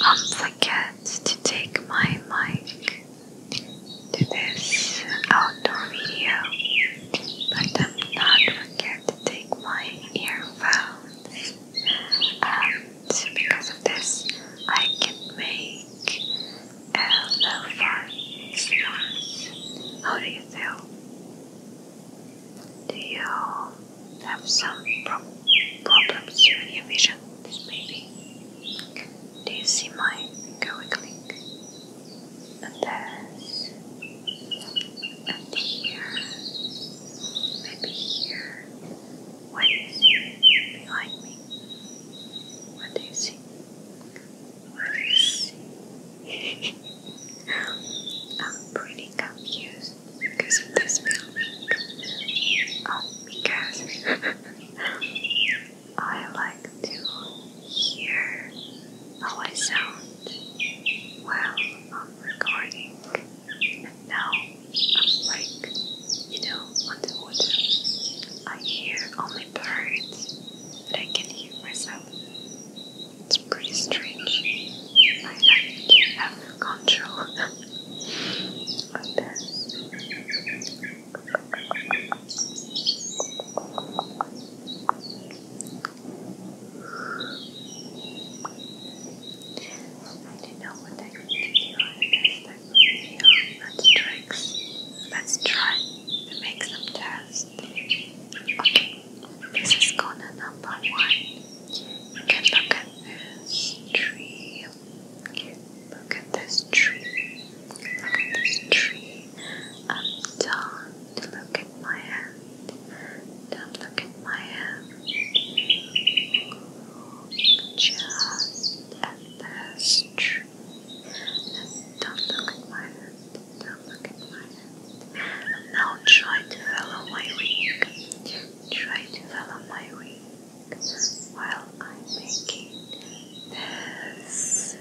Don't forget to take my mic to this outdoor video, but do not forget to take my earphones. And because of this, I can make Hello, uh, How do you feel? Do you have some problems with your vision? maybe. Do you see my finger wiggling? And this, and here, maybe here. What do you see behind me? What do you see? I'm pretty confused because of this music. Oh, because I like to hear how I sound while I'm recording. And now I'm like you know, on water. I hear only birds, but I can hear myself. It's pretty strange. I don't actually have no control on this. I don't know what I can do yeah, that's tricks. Let's try to make some tests. Okay, this is corner number one. You can look at this tree. Look at this tree. Look at this tree. Um, don't look at my hand. look at my hand just at this. And don't look at my hand. Don't look at my hand. And now try to follow my wing. Try to follow my wing while I'm making this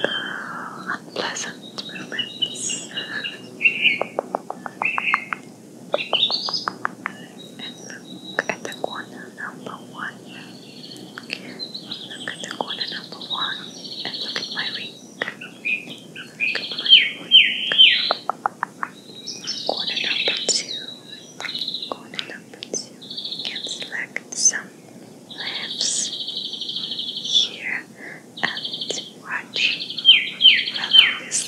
unpleasant movements. and the corner number one. Look the corner number one and look at my ring. Look at my ring. Corner number two. Corner number two. You select some lamps here and Watch. Follow his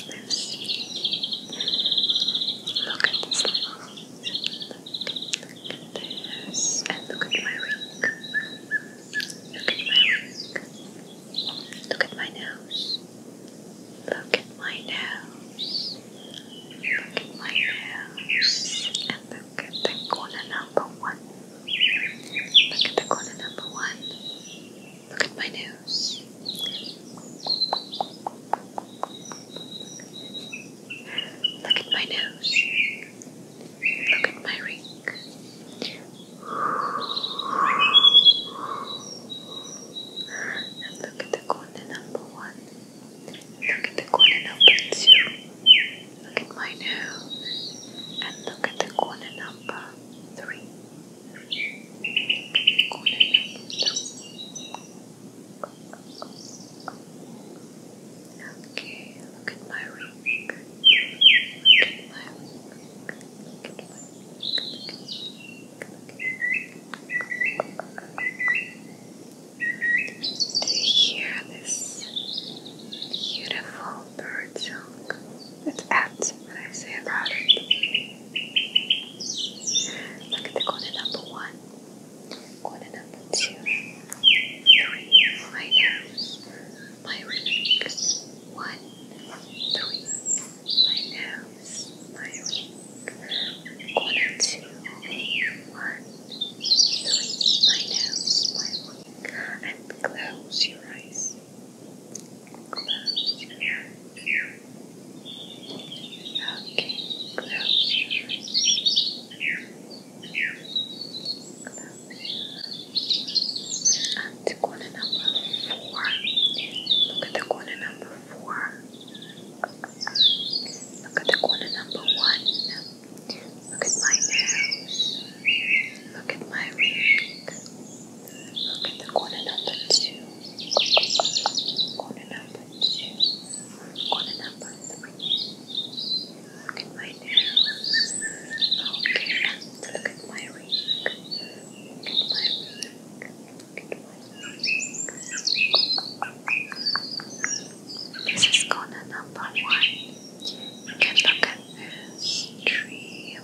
Look at his lips. Look, look at this. And look at my ring. Look at my ring. Look at my nose. Look at my nose. Look at my nose. And look at the corner number one. Look at the corner number one. Look at my nose. Look at my nose. Look at my ring. look at the corner number one. Look at the corner number two. Look at my nose. And look at the corner number three. Okay, look at my ring. Look at my ring. Look at my ring. Do you hear this beautiful called bird junk. It's at when I say about it. Look at the corner number one, corner number two, my nose, my wings. One, three, my nose, my wing. Corner two, one, three, my nose, my wing and close your eyes. Close your eyes. Okay, close your eyes. Close your number four. Look at the corner number four. Look at the corner number one. Look at my nose. Look at my ring. Look at the corner number two. Corner number two. Corner number three. Look at my nose. Okay, and look at my ring. Look at my ring. Look at my ring. This is corner number one. You can look at this tree.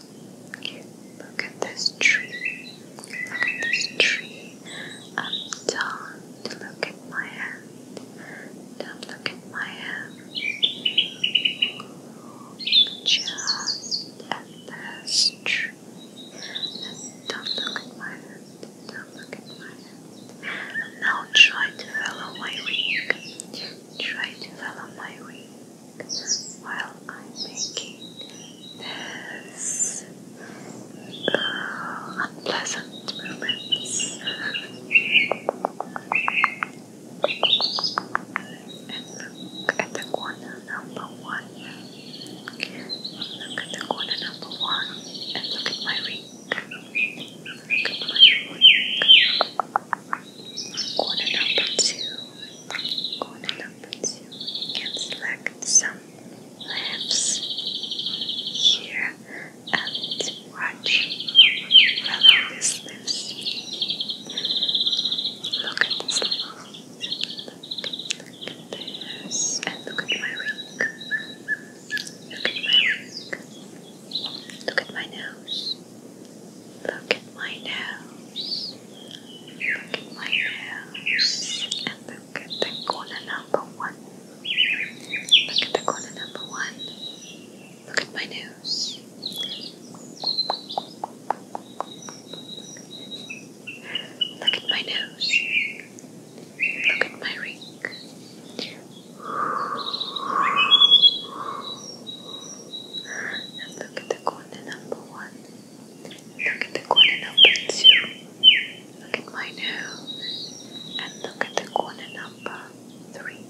Look at this tree. Look at this tree. I'm done. Look at my hand. Don't look at my hand. Just at this tree. And don't look at my hand. Don't look at my hand. Now try to follow my wing. Try to follow my wing while I'm making this uh, unpleasant movements. And look at the corner number one. Look at the corner number one and look at my wing. Corner number two. Corner number two. You can select some lamps here and watch Look at this Look, at this. look at my ring. Look at my wig. Look at my nose. Look at my nose. Look at my nose. And look at the corner number one. Look at the corner number one. Look at my nose. Look at my nose. Look at my ring. And look at the corner number one. Look at the corner number two. Look at my nose. And look at the corner number three.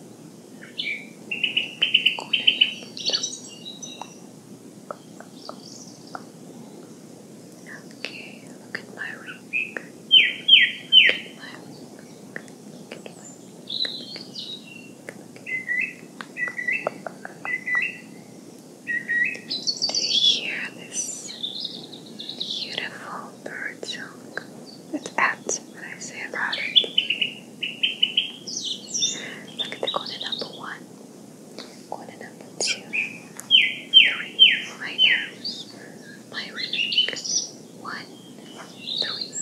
Corner number two. Okay, look at my ring. Look at my ring. Look at my ring. Do you hear this beautiful bird song? It's at when I say about it. Look at the corner number one. One and two, three, my nose, my ring. One, three,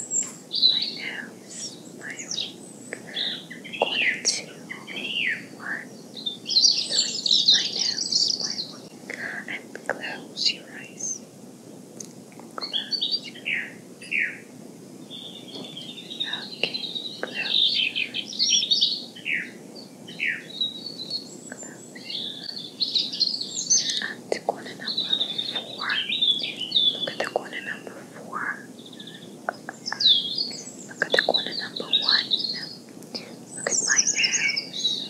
my nose, my ring. One and two, one, three, my nose, my ring. And close your eyes. Close your eyes. Okay, close your eyes. And corner number four. Look at the corner number four. Look at the corner number one. Look at my nose.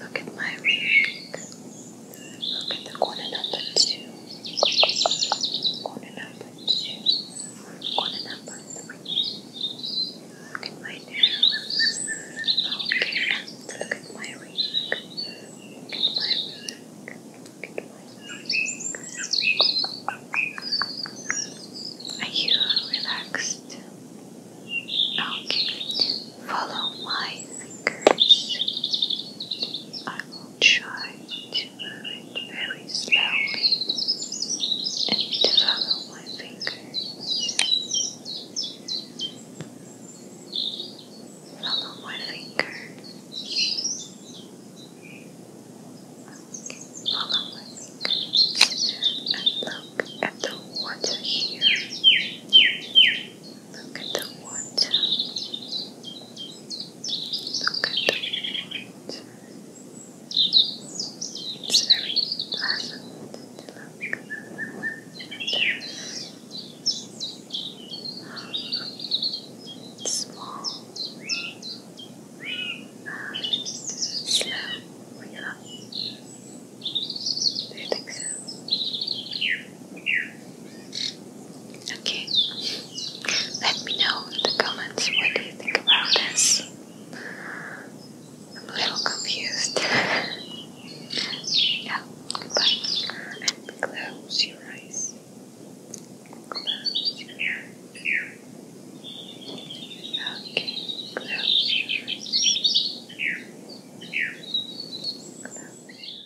Look at my ring. Look at the corner number two. Corner number but you good Look at my nails. Okay, and look at my ring. Look at my ring. Look at my ring. Are you relaxed? Okay, Follow my fingers. I will try to very slowly and follow my fingers. Follow my fingers. follow my fingers and look at the water here. Look at the water. Look at the water. It's very pleasant to look at. Small and slow, relaxed. Do you think so? Okay. Let me know in the comments what do you think about this. I'm a little confused. yeah, goodbye. And close your eyes. Close your eyes. Okay, close your eyes. Close.